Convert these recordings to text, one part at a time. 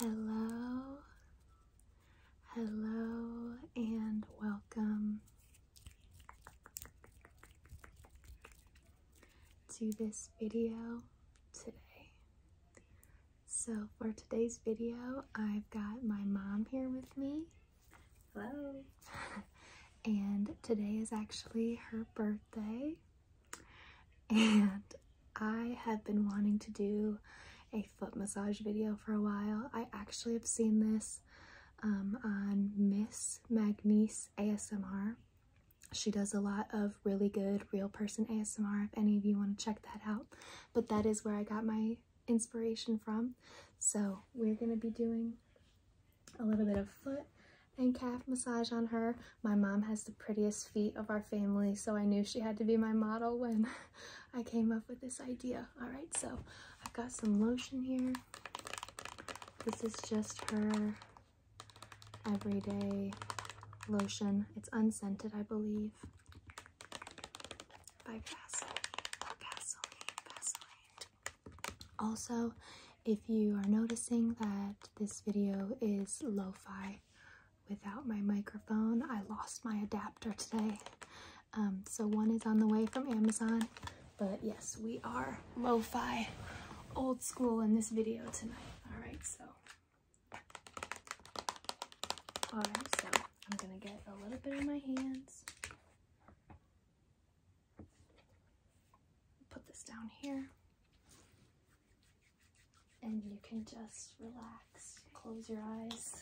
Hello, hello, and welcome to this video today. So, for today's video, I've got my mom here with me. Hello. and today is actually her birthday. And I have been wanting to do a foot massage video for a while. I actually have seen this um, on Miss Magnice ASMR. She does a lot of really good real person ASMR if any of you want to check that out. But that is where I got my inspiration from. So we're going to be doing a little bit of foot and calf massage on her. My mom has the prettiest feet of our family, so I knew she had to be my model when I came up with this idea. All right, so I've got some lotion here. This is just her everyday lotion. It's unscented, I believe, by Vaseline, also, if you are noticing that this video is lo fi without my microphone, I lost my adapter today. Um, so, one is on the way from Amazon, but yes, we are lo fi old school in this video tonight. Alright, so. Alright, so I'm gonna get a little bit in my hands put this down here and you can just relax close your eyes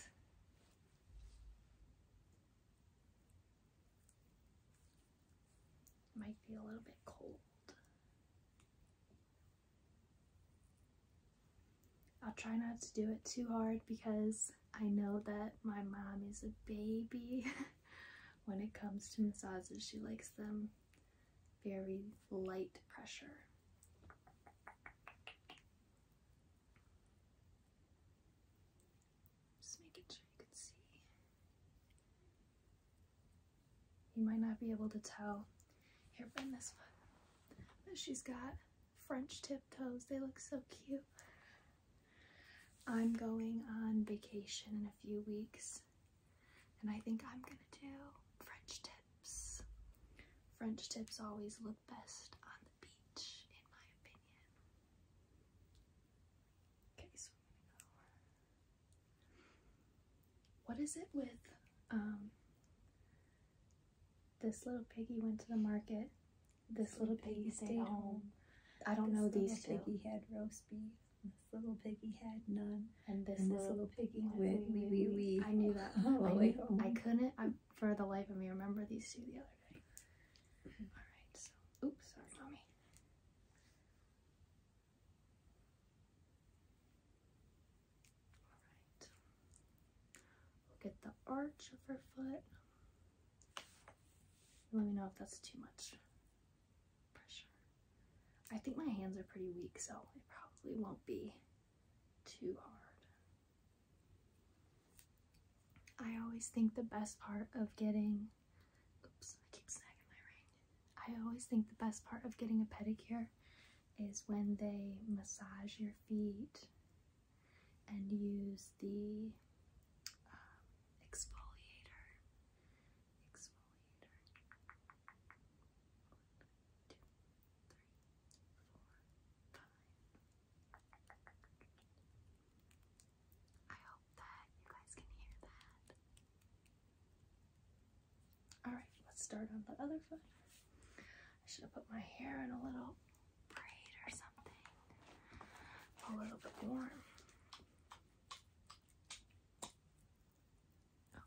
might be a little bit cold I'll try not to do it too hard because I know that my mom is a baby when it comes to massages, she likes them very light pressure. Just making sure you can see. You might not be able to tell. Here, bend this one. But she's got French tiptoes. They look so cute. I'm going on vacation in a few weeks, and I think I'm gonna do French tips. French tips always look best on the beach, in my opinion. Okay, so What is it with um, this little piggy went to the market this, little piggy stayed home. I don't know these two. piggy had roast beef. This little piggy had none. And this, little, piggy went wee wee wee. I knew that. I, couldn't, I, for the life of me, remember these two the other day. All right, so, oops, sorry, mommy. All right. get the arch of her foot. Let me know if that's too much pressure. I think my hands are pretty weak, so it probably won't be too hard. I always think the best part of getting, oops, I keep snagging my ring. I always think the best part of getting a pedicure is when they massage your feet and use the um, exfoliator. I hope that you guys can hear that. Alright, let's start on the other foot. I should put my hair in a little or something a little bit warm. Okay.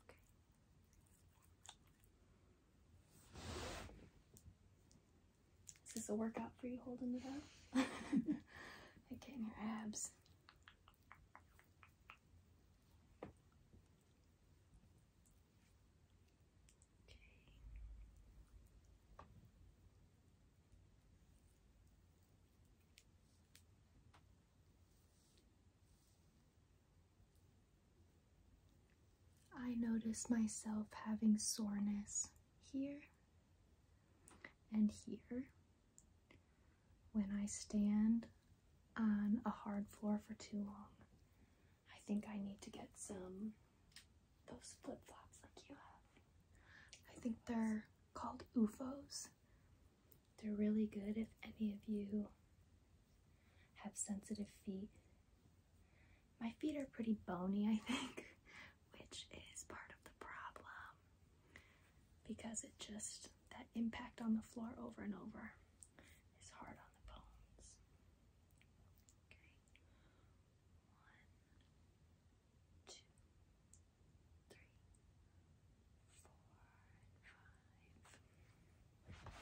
Is this a workout for you holding the up? like getting your abs. Okay. I notice myself having soreness here and here when I stand on a hard floor for too long. I think I need to get some those flip flops like you have. I think they're called UFOs. They're really good if any of you have sensitive feet. My feet are pretty bony, I think, which is part of the problem because it just, that impact on the floor over and over is hard on the bones. Okay, one, two, three, four, and five.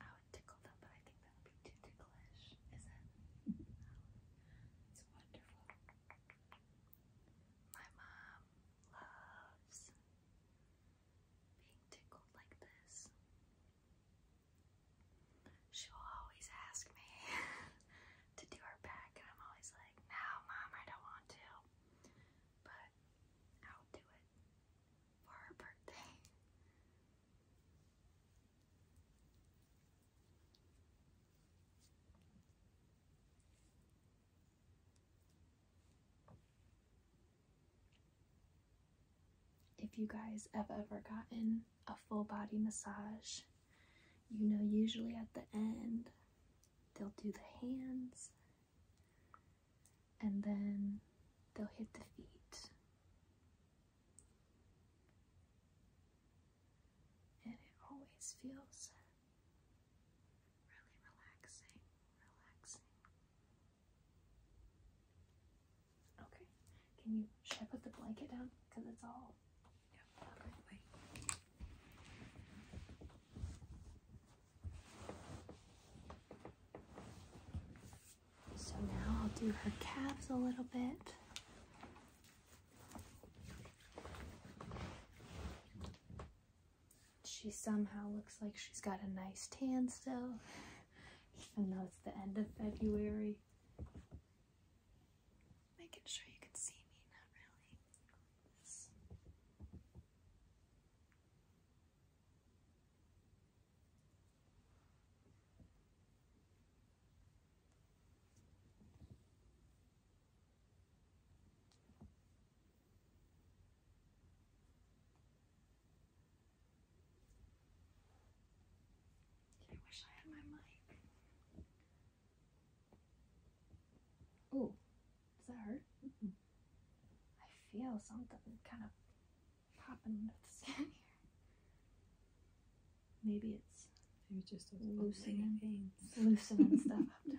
I would tickle them, but I think that would be too ticklish, is it? It's wonderful. My mom loves being tickled like this. She'll always ask me to do her back, and I'm always like, no, mom, I don't want to. But I'll do it for her birthday. If you guys have ever gotten a full body massage, you know, usually at the end, they'll do the hands and then they'll hit the feet. And it always feels really relaxing, relaxing. Okay. Can you should I put the blanket down? Because it's all So now I'll do her calves a little bit. She somehow looks like she's got a nice tan still, even though it's the end of February. Making sure you can see me, not really. I wish I had my mic. Oh, does that hurt? I feel something kind of popping into the skin here. Maybe it's just loosening, loosening stuff up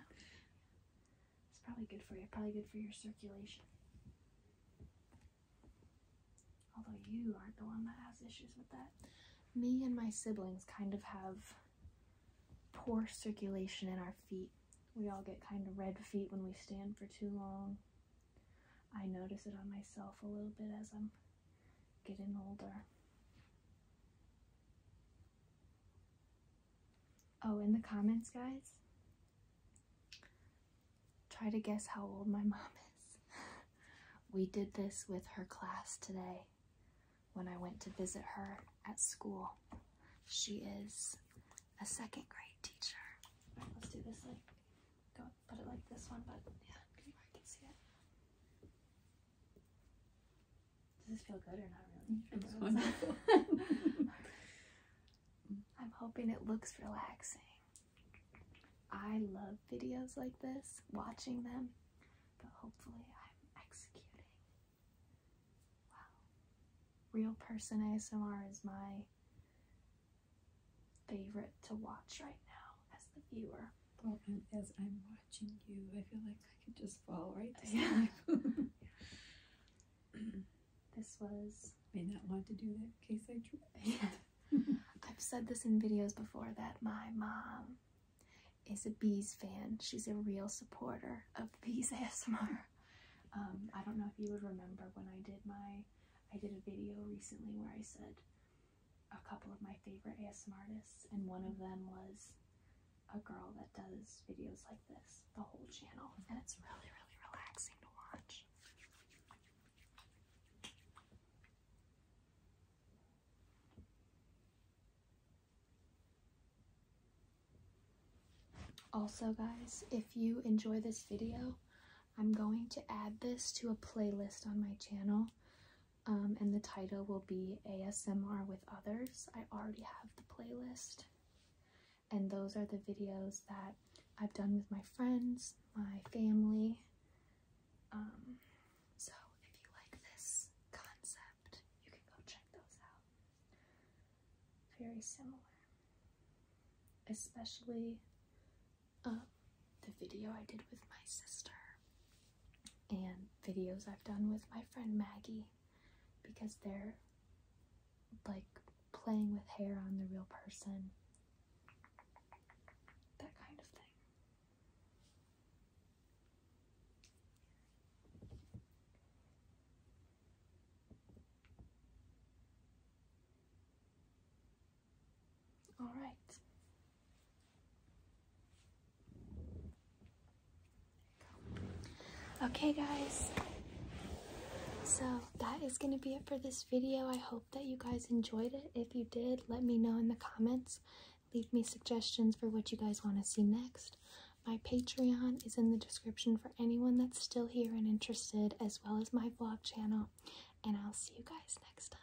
It's probably good for you, probably good for your circulation. Although you aren't the one that has issues with that. Me and my siblings kind of have poor circulation in our feet. We all get kind of red feet when we stand for too long. I notice it on myself a little bit as I'm getting older. Oh, in the comments, guys, try to guess how old my mom is. we did this with her class today when I went to visit her at school. She is a second grade teacher. All right, let's do this like, go put it like this one, but yeah, I can see it. Does this feel good or not really? I'm hoping it looks relaxing. I love videos like this, watching them, but hopefully I'm executing. Wow. Real person ASMR is my favorite to watch right now as the viewer. as I'm watching you, I feel like I could just fall right to sleep. Yeah. this was. May not want to do that case I trip. I've said this in videos before that my mom is a bees fan. She's a real supporter of bees ASMR. Um, I don't know if you would remember when I did my, I did a video recently where I said a couple of my favorite ASMR artists, and one of them was a girl that does videos like this, the whole channel, and it's really, really relaxing to watch. Also, guys, if you enjoy this video, I'm going to add this to a playlist on my channel, um, and the title will be ASMR with Others. I already have the playlist and those are the videos that I've done with my friends, my family. Um, so if you like this concept, you can go check those out. Very similar, especially um, the video I did with my sister and videos I've done with my friend Maggie because they're like playing with hair on the real person, that kind of thing. All right. Okay guys, so that is going to be it for this video. I hope that you guys enjoyed it. If you did, let me know in the comments. Leave me suggestions for what you guys want to see next. My Patreon is in the description for anyone that's still here and interested, as well as my vlog channel. And I'll see you guys next time.